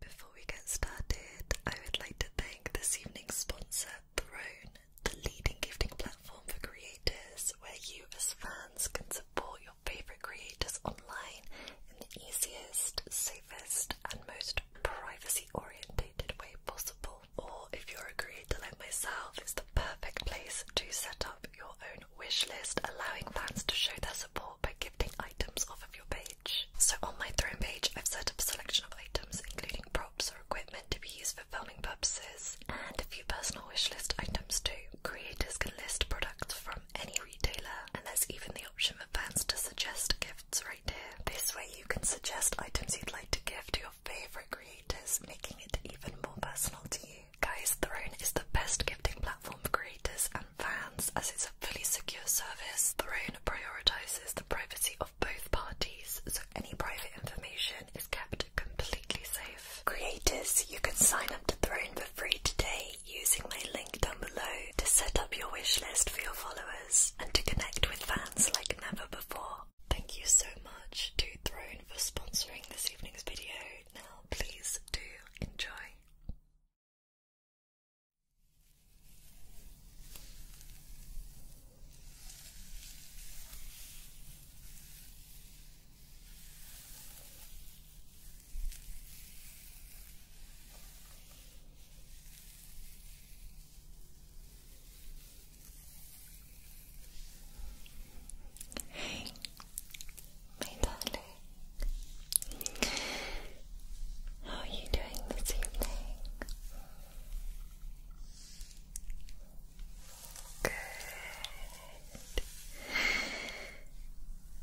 Before we get started, I would like to thank this evening's sponsor, Throne, the leading gifting platform for creators, where you as fans can support your favorite creators online in the easiest, safest, safest and most privacy oriented way possible. Or if you're a creator like myself, it's the perfect place to set up your own wish list, allowing fans to show their support by gifting items off of your page. So on my throne page, I've set up a selection of items, including props or equipment to be used for filming purposes, and a few personal wish list items too. Creators can list products from any retailer, and there's even the option for fans to suggest gifts right here. This way you can suggest items you'd like to give to your favourite creators, making it even more personal to you. Guys, Throne is the best gifting platform for creators and fans as it's a fully secure service. Throne prioritises the privacy of both parties, so any private information is kept completely safe. Creators, you can sign up to Throne for free today using my link down below to set up your wish list for your followers and to connect with fans like never before. Thank you so much to Throne for sponsoring this evening's video. Now, please do enjoy. Hey, my How are you doing this evening? Good.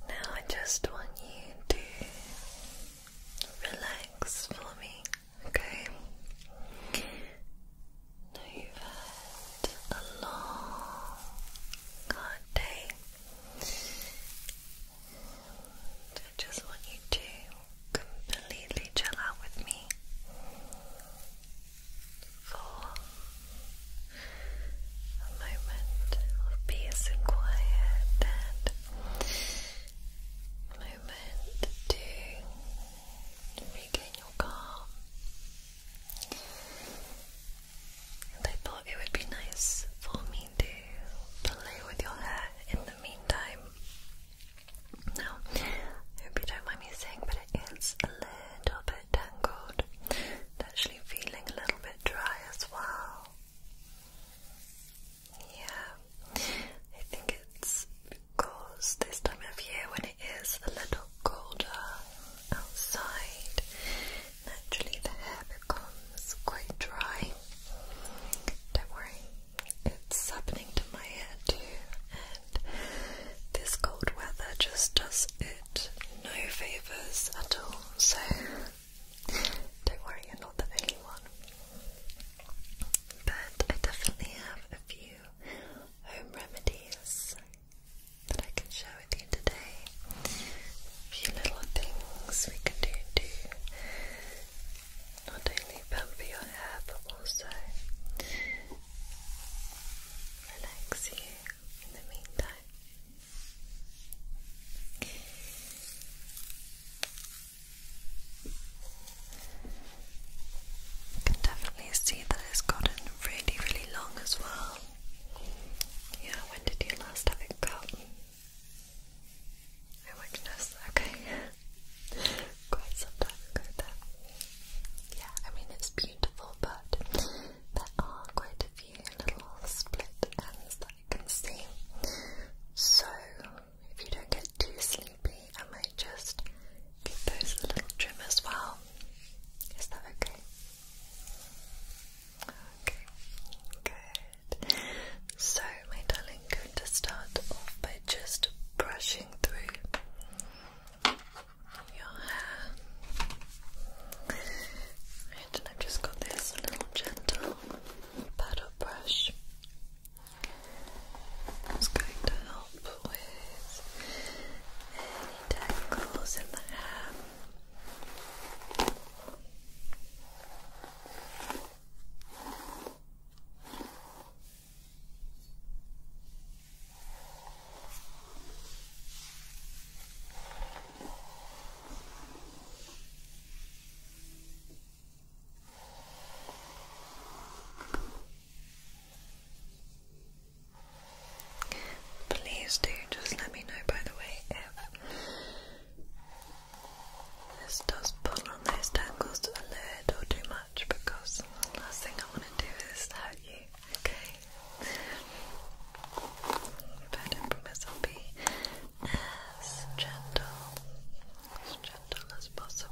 Now I just want you to relax for me, okay? you've had a long, hard day. I just want you to completely chill out with me for a moment of peace and quiet and moment to regain your calm. And I thought it would be nice for me to play with your hair in the meantime. Now, I hope you don't mind me saying, but it is a little bit tangled. It's actually feeling a little bit dry as well. Yeah, I think it's because this time of year, when it is a little colder outside, naturally the hair becomes quite dry. Don't worry, it's happening to my hair too, and this cold weather just does it no favours at all. So don't worry, you're not the only one. But I definitely have a few home remedies that I can share with you today. A few little things we can do to not only pamper your hair but also relax you in the meantime. You can definitely see that it's gotten really, really long as well. Yeah, when did you last have it cut? Oh my goodness, okay. Quite some time ago then. Yeah, I mean it's beautiful, but there are quite a few little split ends you can see. So, if you don't get too sleepy, I might just give those a little trim as well. Is that okay? Okay, good. So, my darling, I'm going to start off by just brushing through your hair and I've just got this little gentle paddle brush it's going to help with any tangles in the hair Please do just let me know, by the way, if this does pull on those tangles a little too much because the last thing I want to do is hurt you, okay? But I promise I'll be as gentle, as gentle as possible.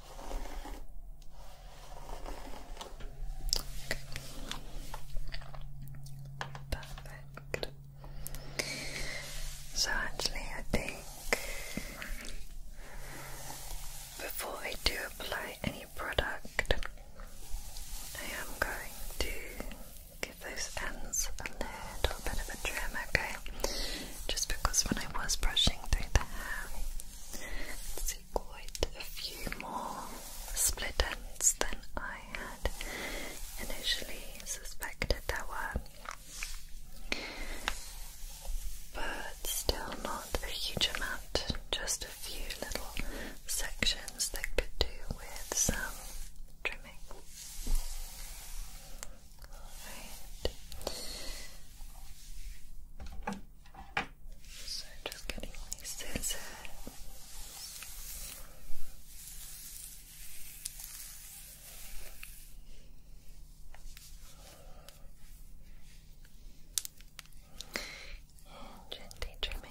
Okay. Perfect. So actually I think before I do apply any product I am going to give those ends a little bit of a trim, okay? just because when I was brushing through the hair, I see quite a few more split ends than I had initially suspected there were. But still not a huge amount, just a few little sections that could do with some trimming. Alright. So just getting my scissors. And gently trimming.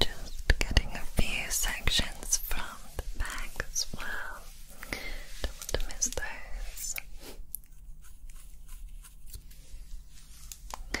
Just getting a few sections from around the back as well. Don't want to miss those. Okay.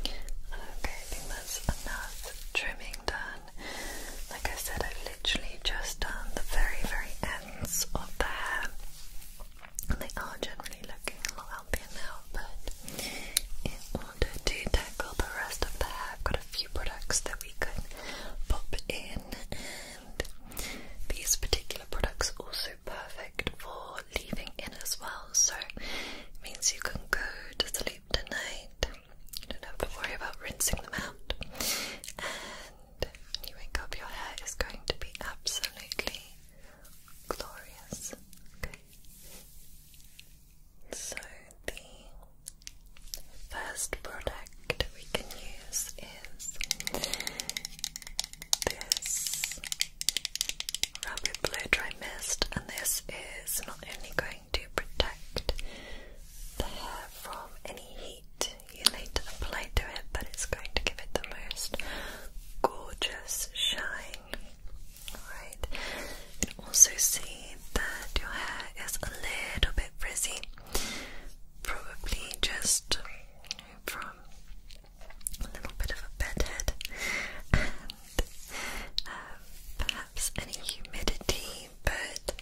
Okay, I that's enough trimming done. Like I said, I've literally just done the very, very end of the hair. And they are generally looking a little healthier now, but in order to tackle the rest of the hair, I've got a few products that we could pop in, and these particular products are also perfect for leaving in as well. So it means you can go to sleep tonight, you don't have to worry about rinsing them out, and you wake up, your hair is going to be absolutely glorious. So, the first product we can use is this Rapid Blow Dry Mist, and this is not only going to protect the hair from any heat you need to apply to it, but it's going to give it the most gorgeous shine. Alright, also see that your hair is a little bit frizzy, probably just from a little bit of a bedhead and uh, perhaps any humidity but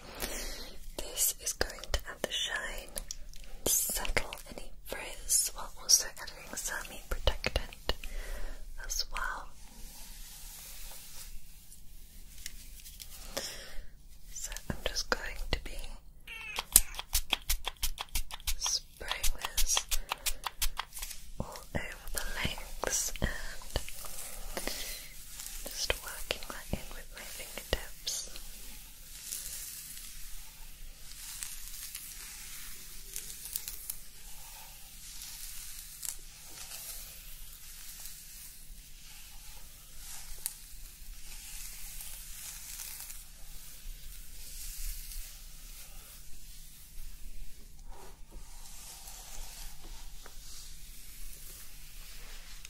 this is going to add the shine settle any frizz while also adding some protectant as well. So I'm just going to be spraying this all over the legs and just working that in with my fingers fingertips.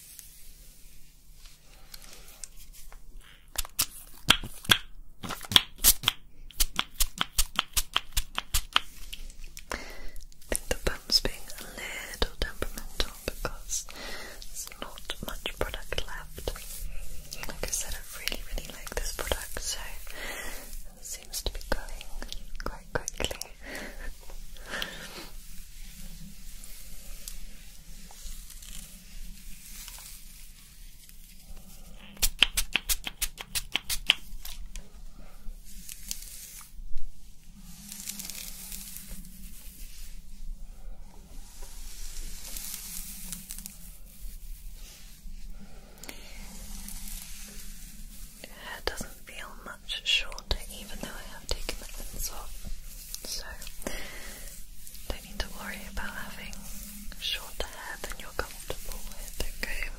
I think the pump's being a little temperamental because there's not much product left. Like I said, I really, really like this product, so it seems to be going quite quickly. Hair doesn't feel much shorter, even though I have taken the pins off. So, don't need to worry about having shorter hair than you're comfortable with, okay?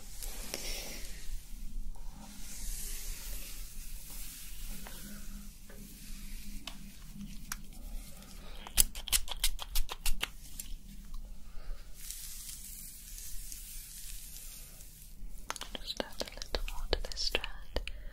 Just add a little more to this strand.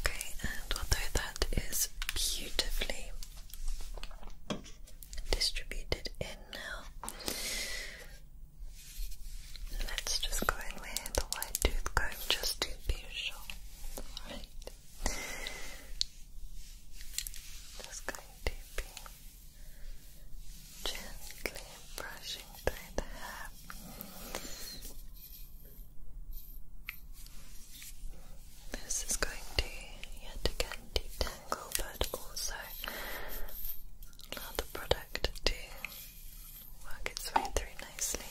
Okay, and although that is beautifully distributed in now. Let's just go in with the white tooth comb just to be sure. Alright. Just going to be gently brushing through the hair. This is going to yet again detangle, but also allow the product to work its way through nicely.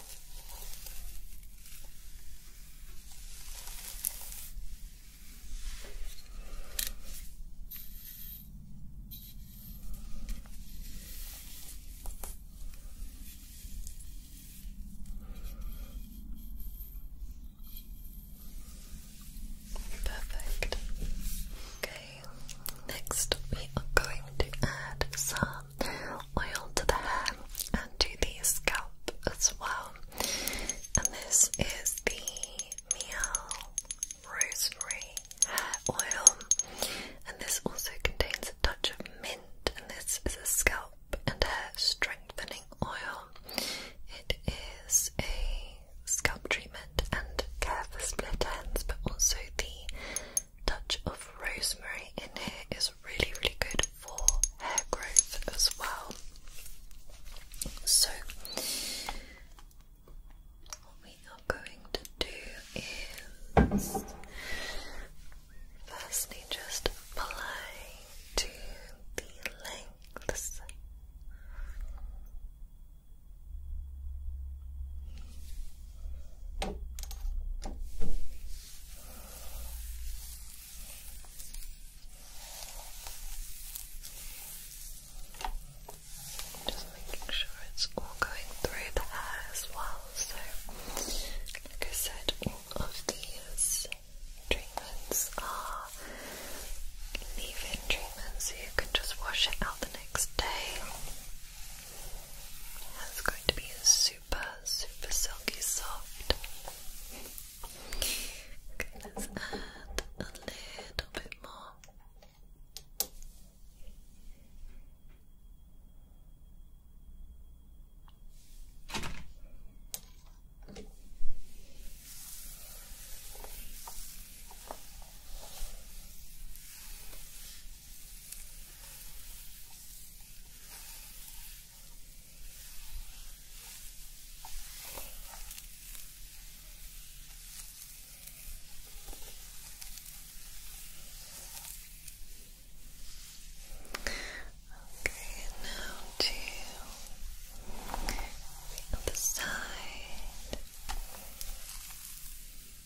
Perfect. Okay, next we are going to add some oil to the hair and to the scalp as well. And this is the Miel Rosemary Hair Oil, and this also contains a touch of mint. And this is a scalp and hair strengthening oil. It is a scalp treatment and care for split ends, but also the touch of rosemary in here is really, really good for hair growth as well. So, what we are going to do is firstly just apply to the lengths. Just making sure it's all going through the hair as well. So, like I said, all of these treatments are leave in treatments, so you can just wash it out the next day. It's going to be super, super silky soft. let's add a little bit more. Okay, now to the side.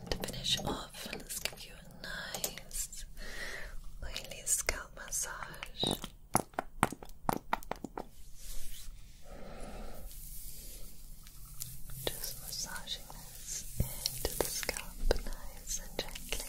And to finish off, let's give you a nice oily scalp massage. Just massaging this into the scalp nice and gently.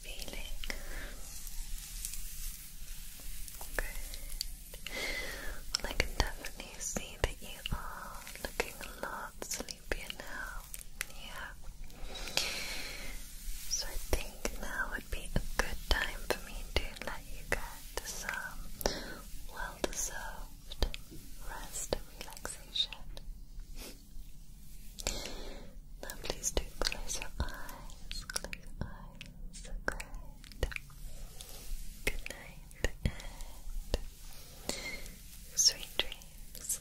feeling? I can definitely see that you are looking a lot sleepier now. Yeah. So I think now would be a good time for me to let you get some well-deserved rest and relaxation. Now please do close your eyes, close your eyes, great. Good night sweet dreams.